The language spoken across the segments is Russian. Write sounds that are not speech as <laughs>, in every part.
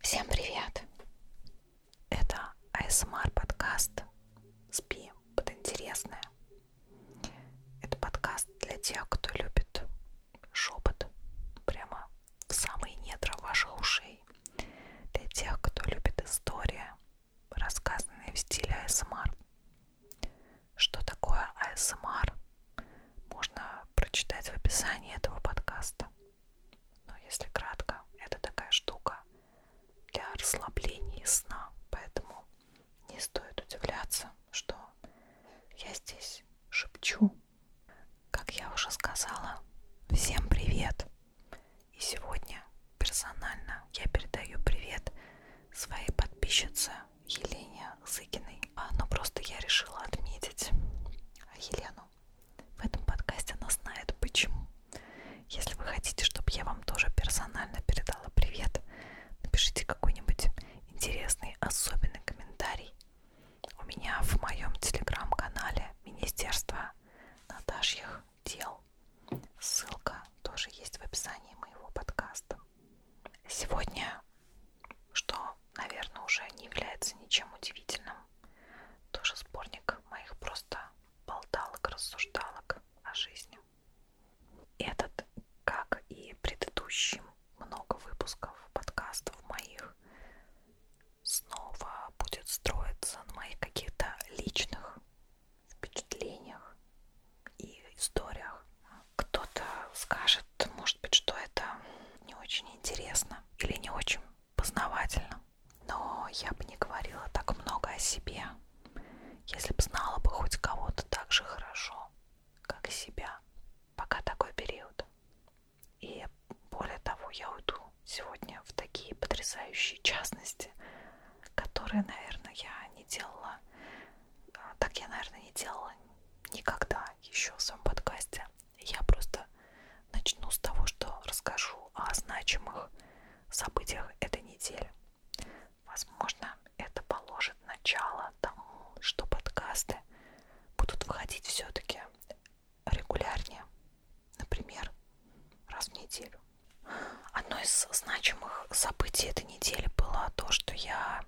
Всем привет! Это ASMR подкаст «Спи под интересное». Это подкаст для тех, кто любит шепот прямо в самые недра ваших ушей. Для тех, кто любит истории, рассказанные в стиле ASMR. Что такое ASMR? Можно прочитать в описании этого подкаста. Но если кратко, это такая штука для расслабления и сна, поэтому не стоит удивляться, что я здесь шепчу. Как я уже сказала, всем привет! И сегодня персонально я передаю привет своей подписчице Елене Зыкиной. А, ну просто я решила отметить Елену в этом подкасте она знает почему. Если вы хотите, чтобы я вам тоже персонально передала привет, напишите какой-нибудь интересный, особенный комментарий. У меня в моем телеграм-канале Министерство Наташьих дел. Ссылка тоже есть в описании моего подкаста. Сегодня, что, наверное, уже не является ничем удивительным, тоже сборник моих просто болталок, рассуждалок о жизни. Этот, как и предыдущим, много выпусков, подкастов моих, снова будет строиться на моих каких-то личных впечатлениях и историях. Кто-то скажет, может быть, что это не очень интересно или не очень познавательно. Но я бы не говорила так много о себе, если бы знала бы хоть кого-то так же хорошо, как себя. Пока такой период. И более того, я уйду сегодня в такие потрясающие частности, которые, наверное, я не делала. Э, так я, наверное, не делала никогда еще в своем подкасте. Я просто начну с того, что расскажу о значимых событиях этой недели. Возможно, это положит начало тому, что подкасты будут выходить все-таки регулярнее, например, раз в неделю. Одно из значимых событий этой недели было то, что я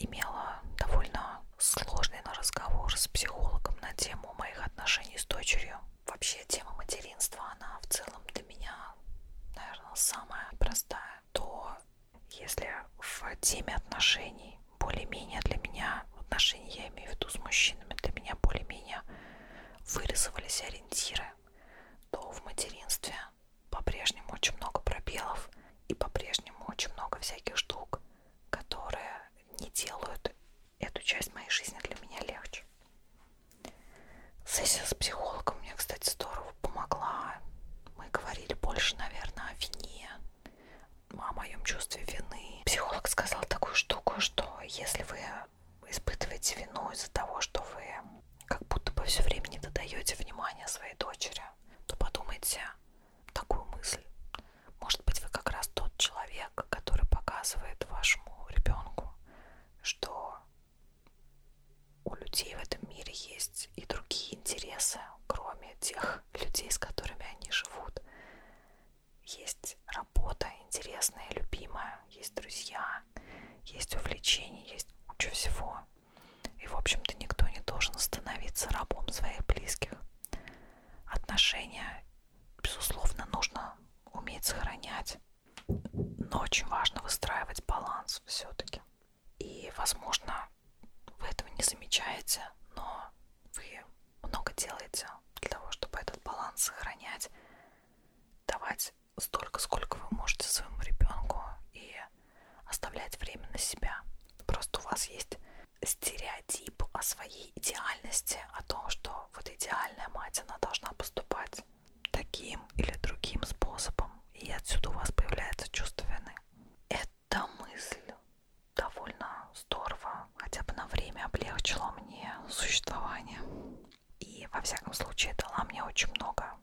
имела довольно сложный на разговор с психологом на тему моих отношений с дочерью. Вообще тема материнства, она в целом для меня, наверное, самая простая. То если в теме отношений более-менее для меня, отношения я имею в виду с мужчинами, для меня более-менее вырисовались ориентиры, то в материнстве по-прежнему очень много пробелов и по-прежнему очень много всяких штук, которые не делают эту часть моей жизни для меня легче. Сессия с психологом мне, кстати, здорово помогла. Мы говорили больше, наверное, о вине, о моем чувстве вины. Психолог сказал такую штуку, что если вы испытываете вину из-за того, что вы как будто бы все время не додаете внимания своей дочери, то подумайте, такую мысль. Может быть, вы как раз тот человек, который показывает вашему ребенку, что у людей в этом мире есть и другие интересы, кроме тех людей, с которыми они живут. Есть работа интересная, любимая, есть друзья, есть увлечения, есть куча всего. И, в общем-то, никто не должен становиться рабом своих близких. Отношения безусловно, нужно уметь сохранять. Но очень важно выстраивать баланс все-таки. И, возможно, вы этого не замечаете, но вы много делаете для того, чтобы этот баланс сохранять, давать столько, сколько вы можете своему ребенку и оставлять время на себя. Просто у вас есть стереотип о своей идеальности, о том, что вот идеальная мать, она должна поступать таким или другим способом, и отсюда у вас появляется чувство вины. Эта мысль довольно здорово, хотя бы на время облегчила мне существование. И, во всяком случае, дала мне очень много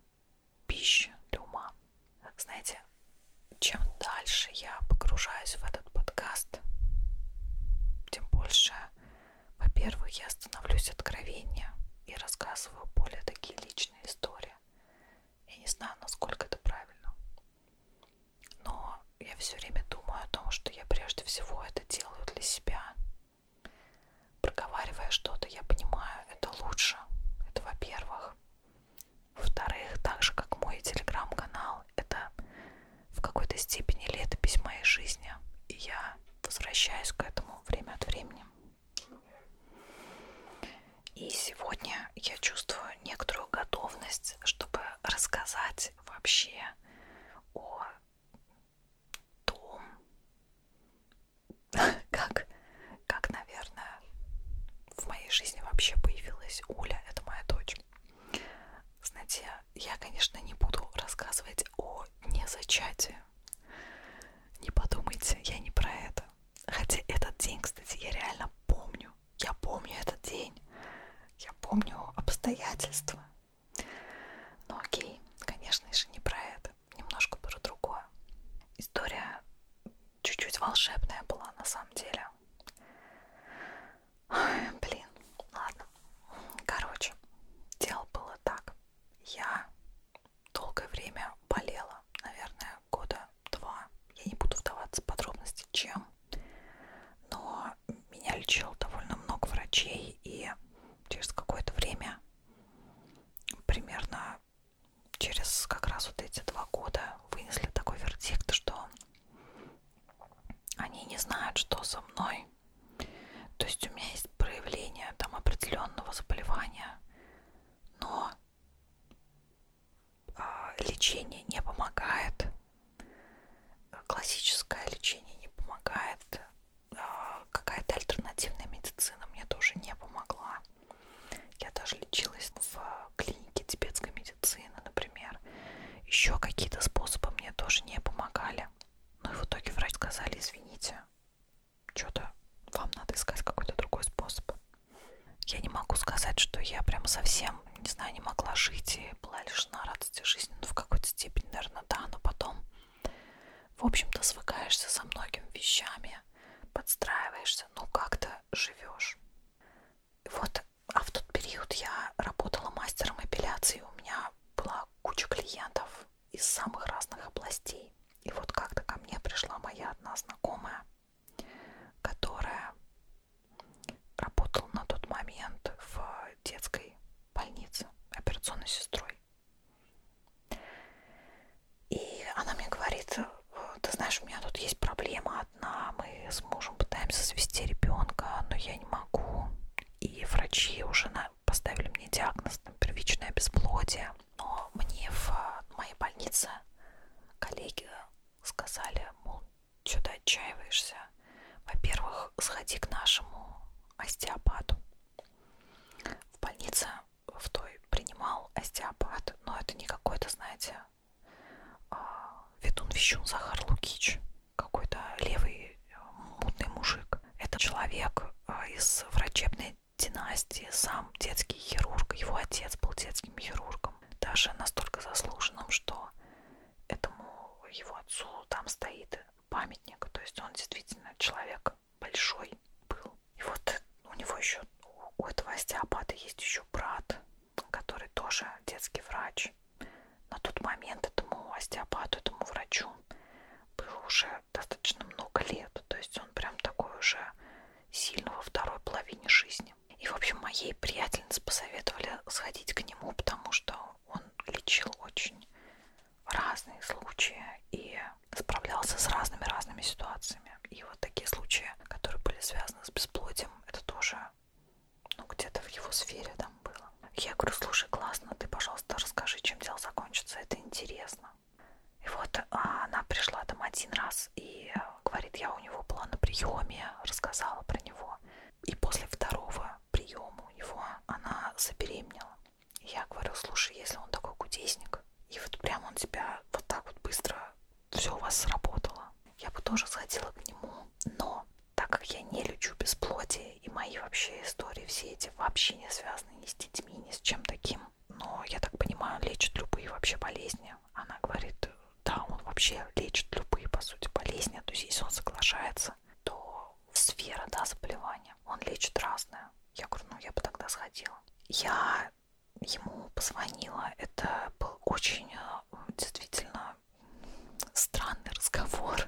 пищи для ума. Знаете, чем дальше я погружаюсь в это этот подкаст, тем больше, во-первых, я становлюсь откровеннее и рассказываю более такие личные истории. Я не знаю, насколько это правильно. Но я все время думаю о том, что я прежде всего это делаю для себя. Проговаривая что-то, я понимаю, это лучше. Это во-первых. Во-вторых, так же как мой телеграм-канал, это в какой-то степени летопись моей жизни. И я возвращаюсь к этому время от времени. И сегодня я чувствую некоторую готовность, чтобы рассказать вообще о том, <laughs> как, как, наверное, в моей жизни вообще появилась Уля, это моя дочь дней. Знаете, я, конечно, не буду рассказывать о незачатии. Не подумайте, я не про это. Хотя этот день, кстати, я реально помню. Я помню этот день. Я помню обстоятельства. Но окей, конечно же, не про это. Немножко про другое. История чуть-чуть волшебная была на самом деле. Ой, блин, ладно. Короче, дело было так. Я долгое время болела, наверное, года два. Я не буду вдаваться в подробности, чем. Но меня лечил довольно много врачей, и через какое-то время, примерно через как раз вот эти два года, вынесли такой вердикт, что они не знают, что со мной. То есть у меня есть проявление там определенного заболевания, но а, лечение не помогает. Классическое лечение не помогает. А, какая-то альтернативная медицина мне тоже не помогла. Я даже лечилась в клиники тибетской медицины, например. Еще какие-то способы мне тоже не помогали. Ну и в итоге врач сказали, извините, что-то вам надо искать какой-то другой способ. Я не могу сказать, что я прям совсем, не знаю, не могла жить и была лишена радости жизни, ну в какой-то степени, наверное, да, но потом, в общем-то, свыкаешься со многими вещами, подстраиваешься, ну как-то живешь. Вот, а в тот период я работала мастером эпиляции, у меня была куча клиентов из самых разных областей. И вот как-то ко мне пришла моя одна знакомая, которая работала на тот момент в детской больнице операционной сестрой. И она мне говорит, ты знаешь, у меня тут есть проблема одна, мы с мужем пытаемся свести ребенка, но я не могу. И врачи уже на... поставили мне диагноз там, первичное бесплодие. Но мне в моей больнице коллеги сказали, мол, что ты отчаиваешься? Во-первых, сходи к нашему остеопату. В больнице в той принимал остеопат, но это не какой-то, знаете, а, ведун вещун Захар Лукич, какой-то левый э, мутный мужик. Это человек э, из врачебной династии, сам детский хирург, его отец был детским хирургом, даже настолько заслуженным, что этому его отцу там стоит памятник, то есть он действительно человек большой был. И вот у него еще, у этого остеопата есть еще брат, который тоже детский врач. На тот момент этому остеопату, этому врачу было уже достаточно много лет. То есть он прям такой уже сильно во второй половине жизни. И, в общем, моей приятельнице посоветовали сходить к нему, потому что он лечил очень разные случаи и справлялся с разными-разными ситуациями. И вот такие случаи, которые были связаны с бесплодием, это тоже ну где-то в его сфере там было. Я говорю, слушай, классно, ты, пожалуйста, расскажи, чем дело закончится, это интересно. И вот а, она пришла там один раз и говорит, я у него была на приеме, рассказала про него. И после второго приема у него она забеременела. И я говорю, слушай, если он такой кудесник, и вот прям он тебя вот так вот быстро, все у вас сработало, я бы тоже сходила к нему тему, но так как я не лечу бесплодие, и мои вообще истории все эти вообще не связаны ни с детьми, ни с чем таким, но я так понимаю, лечит любые вообще болезни. Она говорит, да, он вообще лечит любые, по сути, болезни, то есть если он соглашается, то сфера, да, заболевания, он лечит разное. Я говорю, ну я бы тогда сходила. Я ему позвонила, это был очень э, действительно странный разговор.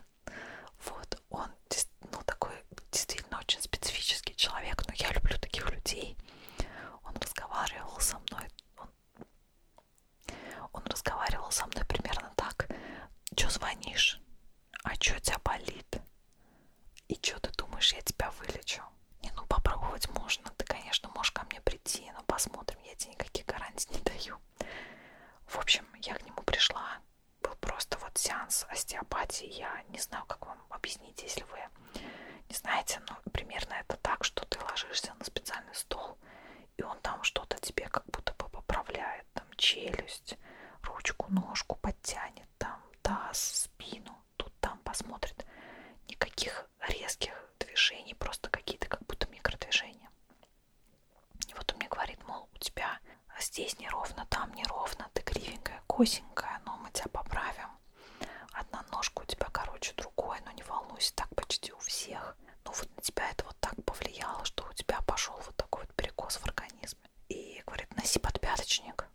Вот, он ну, такой действительно очень специфический человек, но я люблю таких людей. Он разговаривал со мной, он, он разговаривал со мной примерно так. Чё звонишь? А чё тебя болит? И чё ты думаешь, я тебя вылечу? Не, ну попробовать можно, ты, конечно, можешь ко мне прийти, но посмотрим, я тебе никаких гарантий не даю. В общем, я к нему пришла. Был просто вот сеанс остеопатии. Я не знаю, как вам объяснить, если вы не знаете, но примерно это так, что ты ложишься на специальный стол, и он там что-то тебе как будто бы поправляет. Там челюсть, ручку, ножку подтянет, там таз, спину, тут там посмотрит. Никаких резких движений, просто какие-то как будто микродвижения. И вот он мне говорит, мол, у тебя здесь неровно, там неровно, ты кривенькая, косенькая, но мы тебя поправим. Одна ножка у тебя короче другой, но ну, не волнуйся, так почти у всех. Но ну, вот на тебя это вот так повлияло, что у тебя пошел вот такой вот перекос в организме. И говорит, носи подпяточник.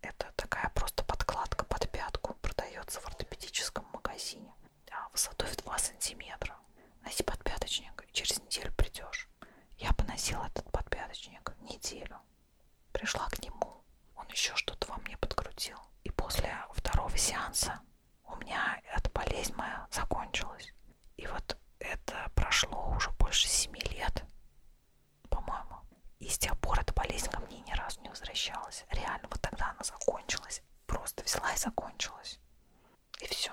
Это такая просто подкладка под пятку, продается в ортопедическом магазине да, высотой в 2 сантиметра. Носи подпяточник, и через неделю придешь. Я поносила этот подпяточник неделю. Пришла к нему, он еще что-то во мне подкрутил. И после второго сеанса у меня эта болезнь моя закончилась. И вот это прошло уже больше семи лет, по-моему. И с тех пор эта болезнь ко мне ни разу не возвращалась. Реально, вот тогда она закончилась. Просто взяла и закончилась. И все.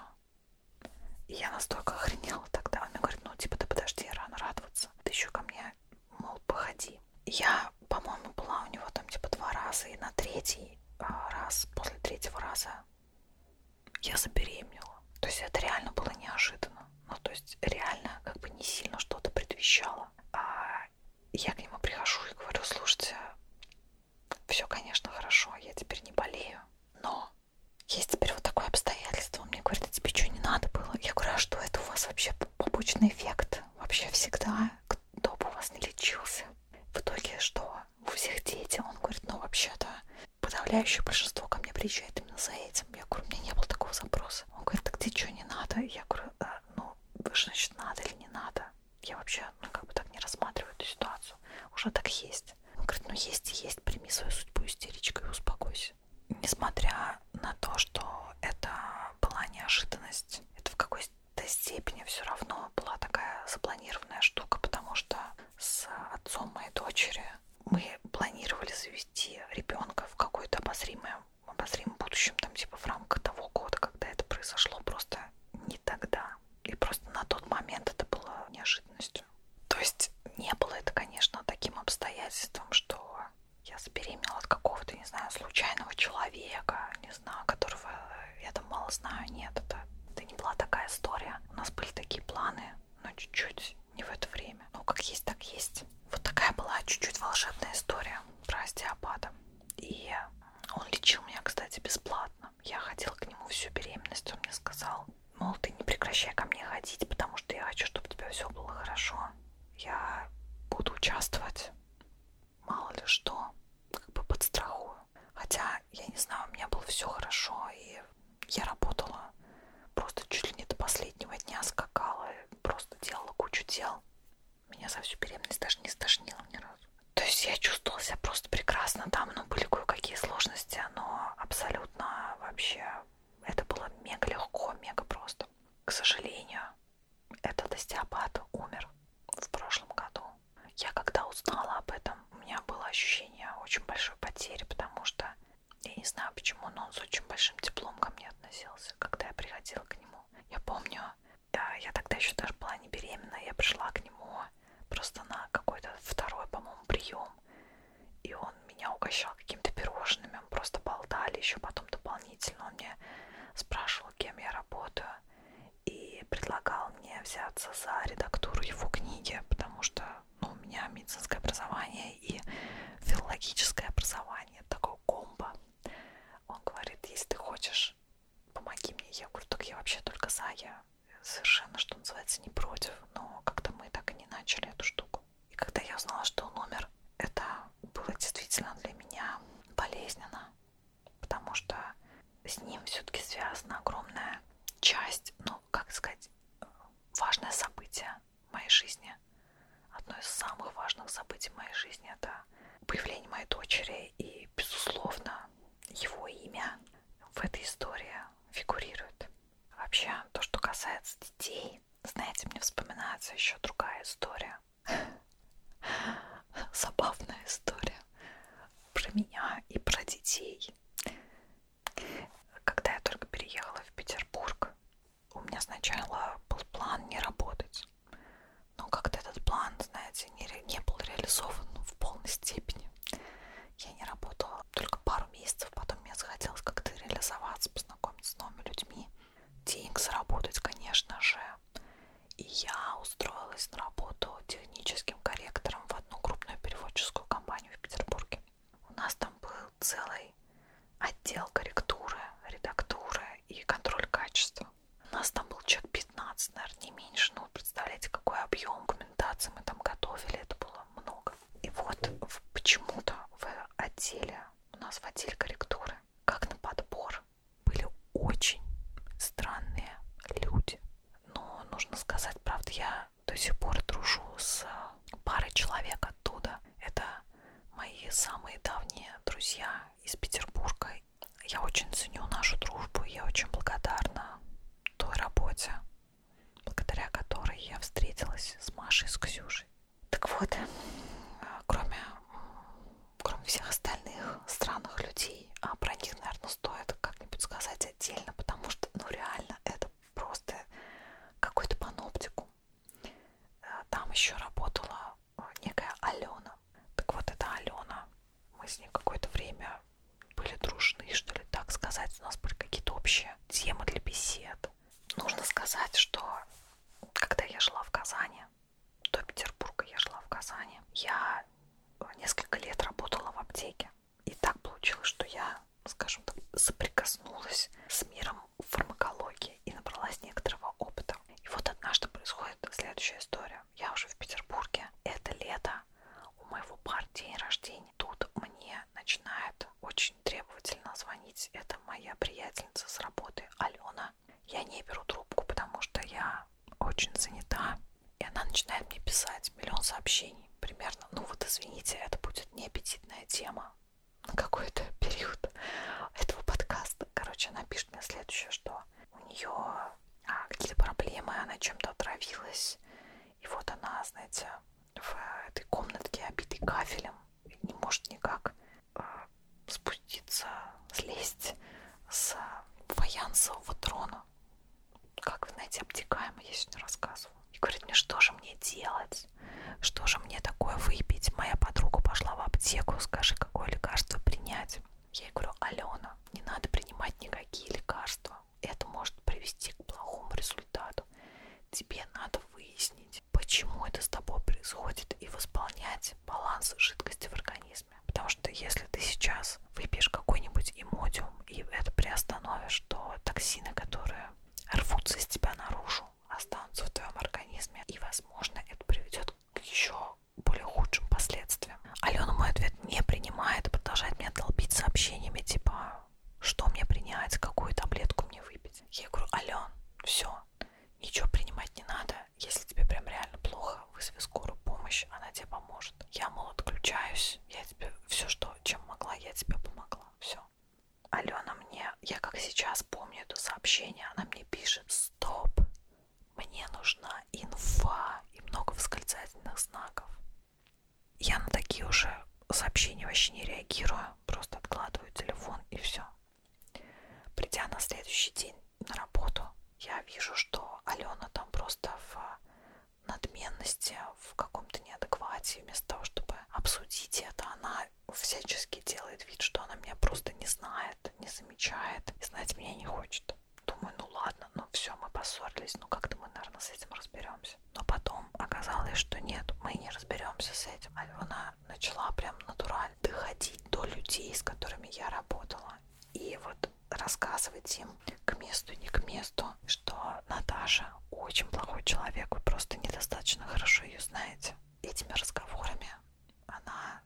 И я настолько охренела тогда. Он мне говорит, ну, типа, ты подожди, рано радоваться. Ты еще ко мне, мол, походи. Я, по-моему, была у него там, типа, два раза. И на третий а, раз, после третьего раза я забеременела. То есть это реально было неожиданно. Ну, то есть реально как бы не сильно что-то предвещало. А я к нему прихожу и говорю, слушайте, все, конечно, хорошо, я теперь не болею, но есть теперь вот такое обстоятельство. Он мне говорит, а тебе что, не надо было? Я говорю, а что это у вас вообще побочный эффект? Вообще всегда, кто бы у вас не лечился. В итоге что? У всех дети. Он говорит, ну вообще-то подавляющее большинство ко мне приезжает именно за этим. Я говорю, у меня не было такого запроса. Он говорит, так тебе что, не надо? Я говорю, а, ну, вы же, значит, надо или не надо? Я вообще, ну, как бы так не рассматриваю эту ситуацию. Уже так есть. Он говорит, ну, есть и есть, прими свою судьбу истеричкой и успокойся. Несмотря на то, что это была неожиданность, это в какой-то степени все равно была такая запланированная штука, потому что с отцом моей дочери мы планировали завести ребенка в какое-то обозримое, обозримом будущем, там типа в рамках того года, когда это произошло, просто не тогда. И просто на тот момент это было неожиданностью. То есть не было это, конечно, таким обстоятельством, что я забеременела от какого-то, не знаю, случайного человека, не знаю, которого я там мало знаю. Нет, это, это не была такая история. У нас были такие планы, но чуть-чуть не в это время. Ну, как есть, так есть. Вот такая была чуть-чуть волшебная история про остеопата. И он лечил меня, кстати, бесплатно. Я ходила к нему всю беременность, он мне сказал, мол, ты не прекращай ко мне ходить, потому что я хочу, чтобы у тебя все было хорошо. Я буду участвовать, мало ли что, как бы подстрахую. Хотя, я не знаю, у меня было все хорошо, и я работала просто чуть ли не до последнего дня скакала, просто делала кучу дел. Меня за всю беременность даже не стошнило ни разу. То есть я чувствовала себя просто прекрасно там, но были кое-какие сложности, но абсолютно вообще это было мега легко, мега просто. К сожалению, этот остеопат умер в прошлом году. Я когда узнала об этом, у меня было ощущение очень большой потери, потому что я не знаю почему, но он с очень большим теплом ко мне относился, когда я приходила к нему. Я помню, да, я тогда еще даже была не беременна, я пришла к нему просто на какой-то второй, по-моему, прием. И он меня угощал какими-то пирожными, мы просто болтали еще потом дополнительно. Он мне спрашивал, кем я работаю, и предлагал мне взяться за редактуру его книги, потому что ну, у меня медицинское образование и филологическое образование, такое комбо. Он говорит, если ты хочешь помоги мне. Я говорю, так я вообще только за, я совершенно, что называется, не против. Но как-то мы так и не начали эту штуку. И когда я узнала, что он умер, это было действительно для меня болезненно, потому что с ним все-таки связана огромная часть, ну, как сказать, важное событие в моей жизни. Одно из самых важных событий в моей жизни это появление моей дочери и, безусловно, его имя в этой истории фигурирует. Вообще, то, что касается детей, знаете, мне вспоминается еще другая история. <laughs> Забавная история про меня и про детей. Когда я только переехала в Петербург, у меня сначала был план не работать но ну, как-то этот план, знаете, не, не был реализован в полной степени. Я не работала только пару месяцев, потом мне захотелось как-то реализоваться, познакомиться с новыми людьми, денег заработать, конечно же. И я устроилась на работу техническим корректором в одну крупную переводческую компанию в Петербурге. У нас там был целый отдел корректуры, редактуры и контроль качества. Нас там был человек 15, наверное, не меньше. Ну, представляете, какой объем комментаций мы там готовили. Это было много. И вот почему-то в отделе, у нас в отделе корректуры, как на подбор, были очень странные люди. Но нужно сказать, правда, я до сих пор дружу с парой человек оттуда. Это мои самые давние друзья из Петербурга я очень ценю нашу дружбу, я очень благодарна той работе, благодаря которой я встретилась с Машей, с Ксюшей. Так вот, э, кроме, кроме всех остальных странных людей, а про них, наверное, стоит как-нибудь сказать отдельно, потому что, ну, реально, это просто какой-то паноптикум. Э, там еще работала э, некая Алена. Так вот, эта Алена мы с ней какое-то время были дружны, что ли, так сказать. У нас были какие-то общие темы для бесед. Нужно сказать, что когда я жила в Казани, до Петербурга я жила в Казани, я несколько лет работала в аптеке. И так получилось, что я, скажем так, соприкоснулась с миром фармакологии и набралась некоторого опыта. И вот однажды происходит следующая история я уже в Петербурге, это лето, у моего пар день рождения. Тут мне начинает очень требовательно звонить, это моя приятельница с работы, Алена. Я не беру трубку, потому что я очень занята, и она начинает мне писать миллион сообщений примерно. Ну вот извините, это будет неаппетитная тема на какой-то <laughs> период этого подкаста. Короче, она пишет мне следующее, что у нее а, какие-то проблемы, она чем-то отравилась. И вот она, знаете, в этой комнатке, обитой кафелем, не может никак а, спуститься, слезть с фаянсового трона. Как, вы знаете, обтекаемо я сегодня рассказываю. И говорит мне, что же мне делать? Что же мне такое выпить? Моя подруга пошла в аптеку, скажи, какое лекарство принять. Я ей говорю, Алена, не надо принимать никакие лекарства. Это может привести к плохому результату. Тебе надо выяснить, почему это с тобой происходит и восполнять баланс жидкости в организме. Потому что если ты сейчас выпьешь какой-нибудь имодиум и это приостановишь, то токсины, которые рвутся из тебя наружу, останутся в твоем организме. И, возможно, это приведет к еще более худшим последствиям. Алена мой ответ не принимает и продолжает меня долбить сообщениями типа что мне принять, какую таблетку мне выпить. Я говорю, Ален, все, ничего принимать не надо. Если тебе прям реально плохо, вызови скорую помощь, она тебе поможет. Я, мол, отключаюсь, я тебе все, что, чем могла, я тебе помогла. Все. Алена мне, я как сейчас помню это сообщение, она мне пишет, стоп, мне нужна инфа и много восклицательных знаков. Я на такие уже сообщения вообще не реагирую, просто откладываю телефон и все. Придя на следующий день на работу, я вижу, что Алена там просто в надменности, в каком-то неадеквате. Вместо того, чтобы обсудить это, она всячески делает вид, что она меня просто не знает, не замечает и знать меня не хочет. Думаю, ну ладно, ну все, мы поссорились, ну как-то мы, наверное, с этим разберемся. Но потом оказалось, что нет, мы не разберемся с этим. А она начала прям натурально доходить до людей, с которыми я работала. И вот рассказывать им к месту, не к месту, что Наташа очень плохой человек, вы просто недостаточно хорошо ее знаете. Этими разговорами она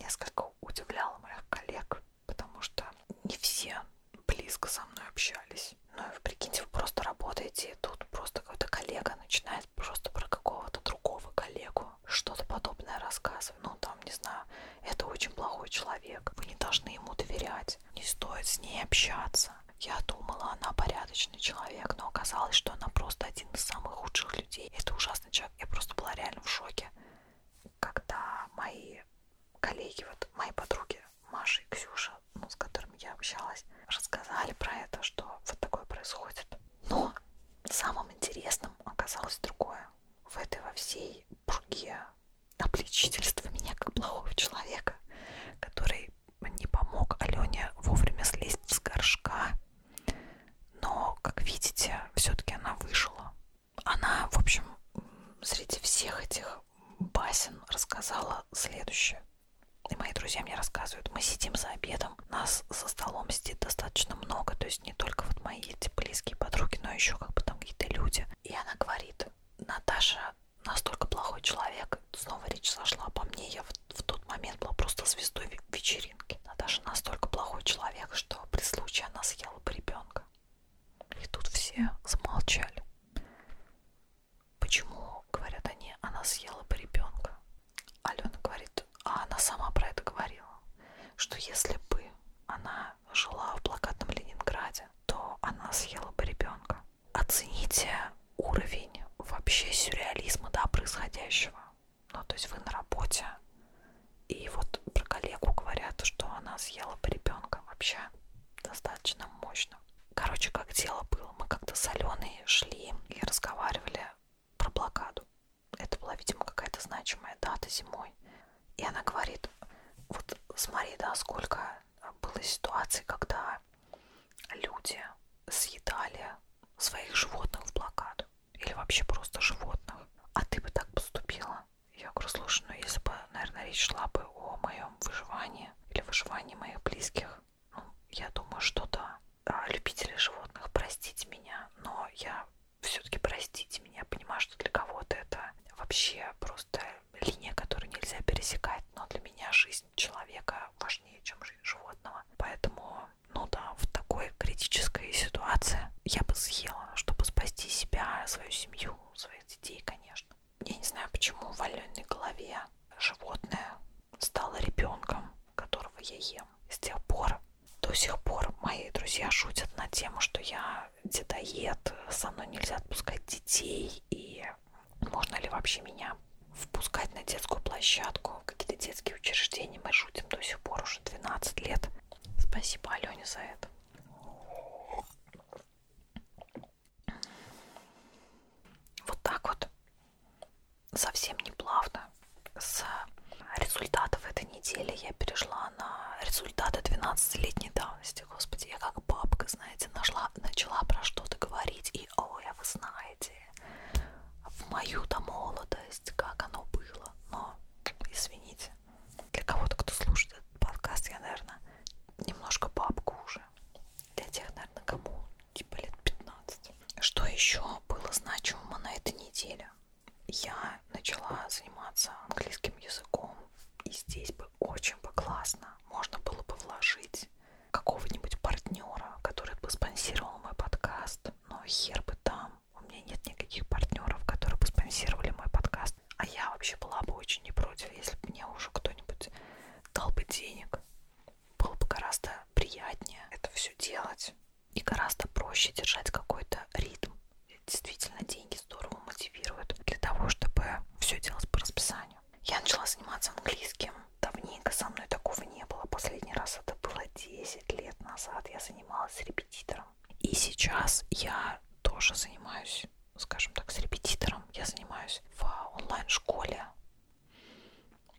несколько удивляла моих коллег, потому что не все близко со мной общались. Ну и вы прикиньте, вы просто работаете, и тут просто какой-то коллега начинает просто про какого-то другого коллегу что-то подобное рассказывать. Ну там, не знаю, это очень плохой человек, вы не должны ему доверять, не стоит с ней общаться. Я думала, она порядочный человек, но оказалось, что она просто один из самых худших людей. Это ужасный человек. Я просто была реально в шоке когда мои коллеги, вот мои подруги Маша и Ксюша, ну, с которыми я общалась, рассказали про это, что вот такое происходит. Но самым интересным оказалось другое. В этой во всей пруге обличительства меня как плохого человека, который не помог Алене вовремя слезть с горшка. Но, как видите, все-таки она выжила она, в общем, среди всех этих басен рассказала следующее. И мои друзья мне рассказывают, мы сидим за обедом, нас за столом сидит достаточно много, то есть не только вот мои эти близкие подруги, но еще как бы там какие-то люди. И она говорит, Наташа настолько плохой человек, снова речь сошла обо мне, я в, в тот момент была просто звездой вечеринки. Наташа настолько плохой человек, что при случае она съела бы ребенка. И тут все замолчали. Почему, говорят они, она съела бы ребенка? Алена говорит, а она сама про это говорила, что если бы она жила в блокадном Ленинграде, то она съела бы ребенка. Оцените уровень вообще сюрреализма, да, происходящего. Ну, то есть вы на работе, и вот про коллегу говорят, что она съела бы ребенка вообще достаточно мощно. Короче, как дело было, мы как-то с Аленой шли и разговаривали про блокаду. Это была, видимо, какая-то значимая дата зимой. И она говорит, вот смотри, да, сколько было ситуаций, когда люди съедали своих животных в блокаду или вообще просто животных. А ты бы так поступила? Я говорю, слушай, ну если бы, наверное, речь шла бы о моем выживании или выживании моих близких, ну, я думаю, что да. А любители животных, простите меня, но я все-таки простите меня, понимаю, что для кого-то это вообще просто линия, которую нельзя пересекать, но для меня жизнь человека важнее, чем жизнь животного. Поэтому, ну да, в такой критической ситуации я бы съела, ну, чтобы спасти себя, свою семью, своих детей, конечно. Я не знаю, почему в валенной голове животное стало ребенком, которого я ем. С тех пор, до сих пор мои друзья шутят на тему, что я дедоед, со мной нельзя отпускать детей, и можно ли вообще меня впускать на детскую площадку, какие-то детские учреждения. Мы шутим до сих пор уже 12 лет. Спасибо Алене за это. Вот так вот, совсем не плавно. С результатов этой недели я перешла на результаты 12-летней давности. Господи, я как бабка, знаете, нашла, начала про что-то говорить, и ой, а вы знаете, в мою-то молодость, как оно было. Но, извините, для кого-то, кто слушает этот подкаст, я, наверное, немножко бабка уже. Для тех, наверное, кому типа лет 15. Что еще было значимого на этой неделе? Я начала заниматься английским языком, и здесь бы очень бы классно можно было бы вложить какого-нибудь партнера, который бы спонсировал мой подкаст, но хер бы там у меня нет никаких партнеров, которые бы спонсировали мой подкаст. А я вообще была бы очень не против, если бы мне уже кто-нибудь дал бы денег. Было бы гораздо приятнее это все делать. И гораздо проще держать какой-то ритм. И действительно, деньги здорово мотивируют для того, чтобы все делать по расписанию. Я начала заниматься английским. Давненько со мной такого не было. Последний раз это было 10 лет назад. Я занималась репетитором и сейчас я тоже занимаюсь, скажем так, с репетитором. Я занимаюсь в онлайн-школе.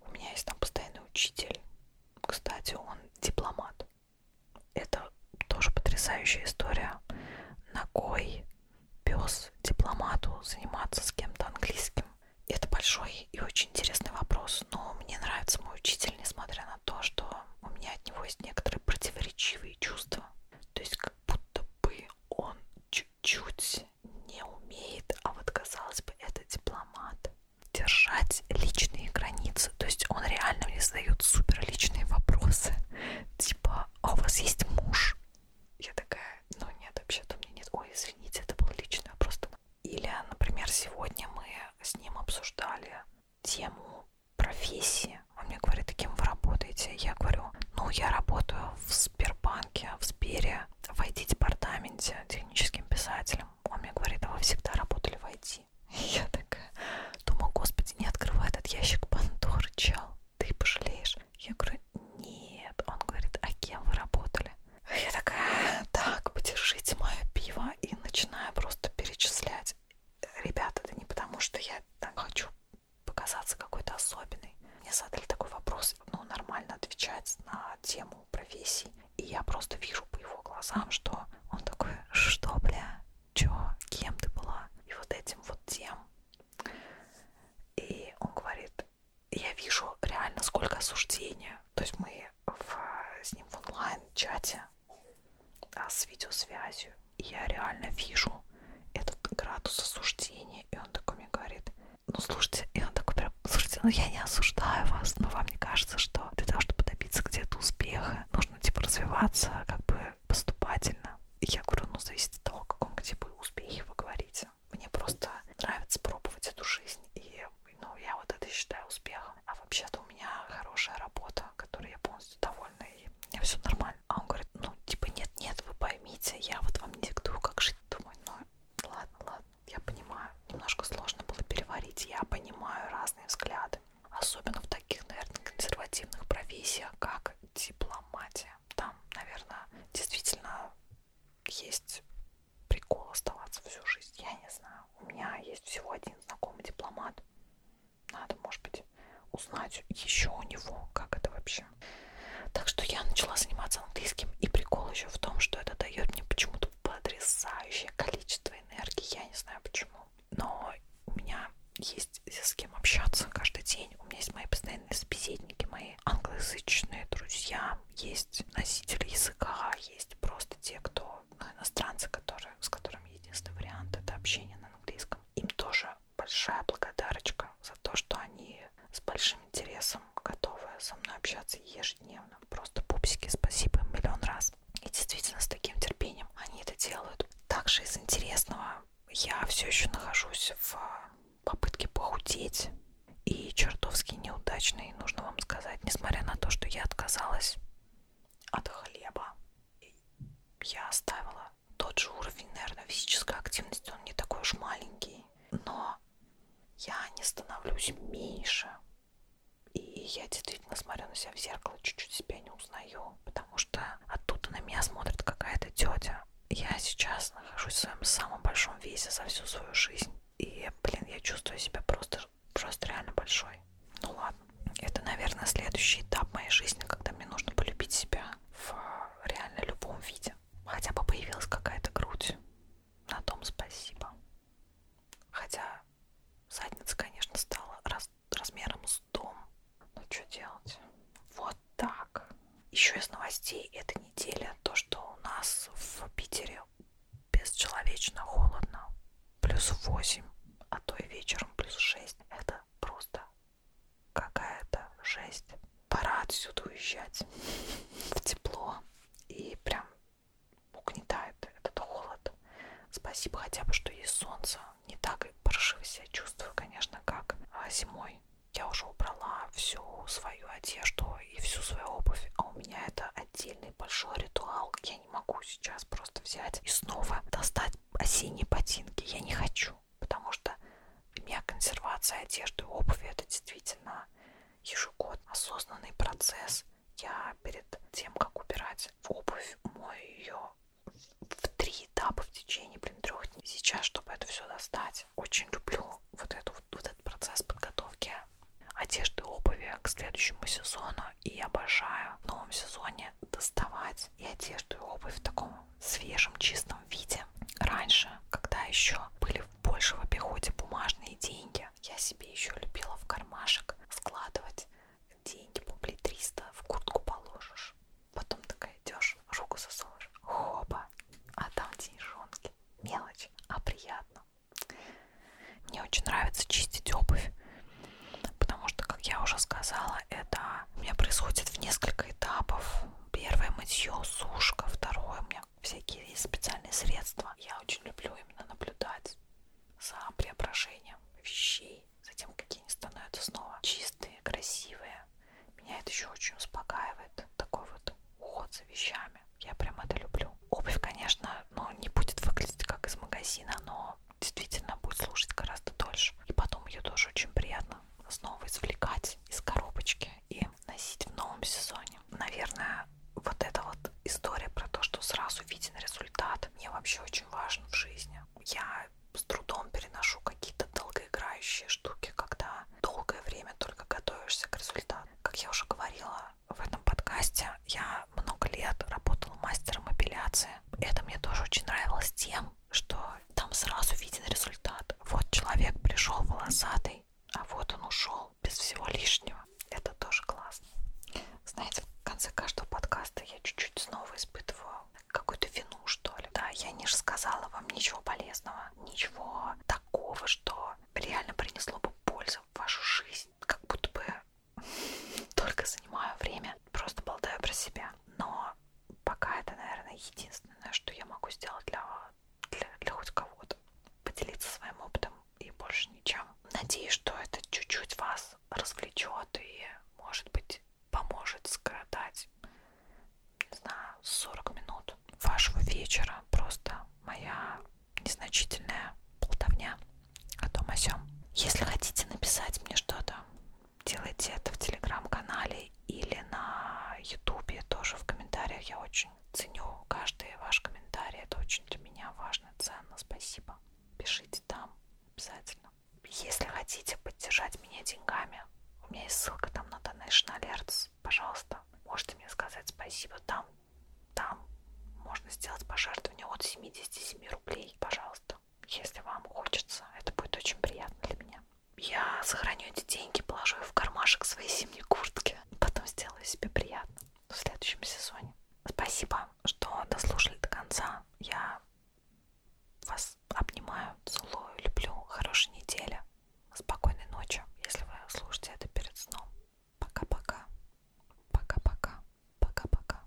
У меня есть там постоянный учитель. Кстати, он дипломат. Это тоже потрясающая история. Ногой пес дипломату заниматься с кем-то английским. Это большой и очень интересный вопрос, но мне нравится мой учитель, несмотря на то, что у меня от него есть некоторые противоречивые чувства. То есть как будто бы он чуть-чуть не умеет, а вот казалось бы, это дипломат. Держать личные границы. То есть он реально мне задает супер личные вопросы. Типа, а у вас есть муж? Я такая, ну нет, вообще-то у меня нет. Ой, извините, это был личный вопрос. Или, например, сегодня мы с ним обсуждали тему профессии. Он мне говорит, «А кем вы работаете? Я говорю, ну, я работаю в Сбербанке, в Сбере, в IT-департаменте, техническим писателем. Он мне говорит, а вы всегда работали в IT? И <laughs> я такая думаю, господи, не открывай этот ящик Пандоры, чел, ты пожалеешь. Я говорю, нет. Он говорит, а кем вы работали? Я такая, «А, так, подержите мое пиво и начинаю просто перечислять ребята, это не потому, что я там хочу показаться какой-то особенной. Мне задали такой вопрос, ну, нормально отвечать на тему профессии. И я просто вижу по его глазам, что он такой, что, бля, чё, кем ты была? И вот этим вот тем. И он говорит, я вижу реально сколько осуждения. То есть мы в, с ним в онлайн-чате а с видеосвязью. И я реально вижу этот градус осуждения. И он такой мне говорит, ну слушайте, и он такой прям, слушайте, ну я не осуждаю вас, но вам не кажется, что для того, чтобы добиться где-то успеха, нужно типа развиваться как бы поступательно. И я говорю, ну зависит от того, о каком типа успехе вы говорите. Мне просто нравится пробовать эту жизнь, и ну, я вот это считаю успехом а вообще-то у меня хорошая работа, которой я полностью довольна, и мне все нормально. А он говорит, ну, типа, нет-нет, вы поймите, я вот вам не диктую, как жить. Думаю, ну, ладно, ладно, я понимаю. Немножко сложно было переварить, я понимаю разные взгляды. Особенно в таких, наверное, консервативных профессиях, как дипломатия. Там, наверное, действительно есть прикол оставаться всю жизнь. Я не знаю. У меня есть всего один знакомый дипломат. Надо, может быть, узнать еще у него, как это вообще. Так что я начала заниматься английским. И прикол еще в том, что это дает мне почему-то потрясающее количество энергии. Я не знаю почему. Но у меня есть с кем общаться каждый день. У меня есть мои постоянные собеседники, мои англоязычные друзья, есть носители языка, есть просто те, кто ну, иностранцы, которые, с которыми единственный вариант это общение на английском, им тоже большая благодарочка за то, что они с большим интересом готовы со мной общаться ежедневно. Просто пупсики, спасибо им миллион раз. И действительно, с таким терпением они это делают. Также из интересного я все еще нахожусь в попытке похудеть. И чертовски неудачный, нужно вам сказать, несмотря на то, что я отказалась от хлеба я оставила тот же уровень, наверное, физической активности, он не такой уж маленький, но я не становлюсь меньше. И я действительно смотрю на себя в зеркало, чуть-чуть себя не узнаю, потому что оттуда на меня смотрит какая-то тетя. Я сейчас нахожусь в своем самом большом весе за всю свою жизнь. И, блин, я чувствую себя просто, просто реально большой собой. Ну ладно. Это, наверное, следующий этап моей жизни, когда мне нужно полюбить себя в реально любом виде. Хотя бы появилась какая-то грудь. На том спасибо. Хотя задница, конечно, стала раз, размером с дом. Но ну, что делать? Вот так. Еще из новостей этой недели то, что у нас в Питере бесчеловечно холодно плюс 8, а то и вечером плюс 6. Это просто какая-то жесть. Пора отсюда уезжать <laughs> в тепло. И прям угнетает этот холод. Спасибо хотя бы, что есть солнце. Не так паршиво себя чувствую, конечно, как а, зимой. Я уже убрала всю свою одежду и всю свою обувь, а у меня это отдельный большой ритуал. Я не могу сейчас просто взять и снова достать осенние ботинки я не хочу, потому что для меня консервация одежды, обуви это действительно ежегодно осознанный процесс. Я перед тем, как убирать в обувь, мою ее в три этапа в течение, блин, трех дней. Сейчас, чтобы это все достать, очень люблю вот, эту, вот, вот этот процесс подготовки одежды, обуви к следующему сезону. И обожаю в новом сезоне доставать покупать и одежду, и обувь в таком свежем, чистом виде. Раньше, когда еще были больше в обиходе бумажные деньги, я себе еще любила в кармашек складывать деньги, рублей 300 в куртку положишь. Потом такая идешь, руку засовываешь, хопа, а там деньжонки. Мелочь, а приятно. Мне очень нравится чистить обувь. Потому что, как я уже сказала, это у меня происходит в несколько этапов. Первое мытье, сушка, второе у меня всякие специальные средства. Я очень люблю именно наблюдать за преображением вещей, за тем, какие они становятся снова чистые, красивые. Меня это еще очень успокаивает, такой вот уход за вещами. Я прям это люблю. Обувь, конечно, ну, не будет выглядеть как из магазина, но действительно будет слушать гораздо дольше. И потом ее тоже очень приятно снова извлекать из коробочки и носить в новом сезоне. Наверное, вот эта вот история про то, что сразу виден результат, мне вообще очень важен в жизни. Я с трудом переношу какие-то долгоиграющие штуки, когда долгое время только готовишься к результату. Как я уже говорила в этом подкасте, я много лет работала мастером апелляции это мне тоже очень нравилось тем, что там сразу виден результат. Вот человек пришел волосатый, а вот он ушел без всего лишнего. Это тоже классно. Знаете, в конце каждого подкаста я чуть-чуть снова испытываю какую-то вину, что ли. Да, я не рассказала вам ничего полезного, ничего такого, что реально принесло бы пользу в вашу жизнь. Как будто бы только занимаю время, просто болтаю про себя. Но пока это, наверное, единственное, что я могу сделать для, для, для хоть кого-то. Поделиться своим опытом и больше ничем. Надеюсь, что это чуть-чуть вас развлечет и, может быть, поможет скоротать, не знаю, 40 минут вашего вечера. Просто моя незначительная болтовня о том о сём. Если хотите написать мне что-то, делайте это в телеграм-канале или на ютубе тоже в комментариях. Я очень ценю каждый ваш комментарий. Это очень для меня важно, ценно. Спасибо. Пишите там обязательно. Если хотите поддержать меня деньгами, у меня есть ссылка там на Donation Alerts. Пожалуйста, можете мне сказать спасибо там. Там можно сделать пожертвование от 77 рублей. Пожалуйста. Если вам хочется, это будет очень приятно для меня. Я сохраню эти деньги, положу их в кармашек своей зимней куртки. Потом сделаю себе приятно в следующем сезоне. Спасибо, что дослушали до конца. Я вас обнимаю, целую, люблю. Хорошей недели. Спокойной ночи, если вы слушаете это перед сном. Пока-пока. Пока-пока. Пока-пока.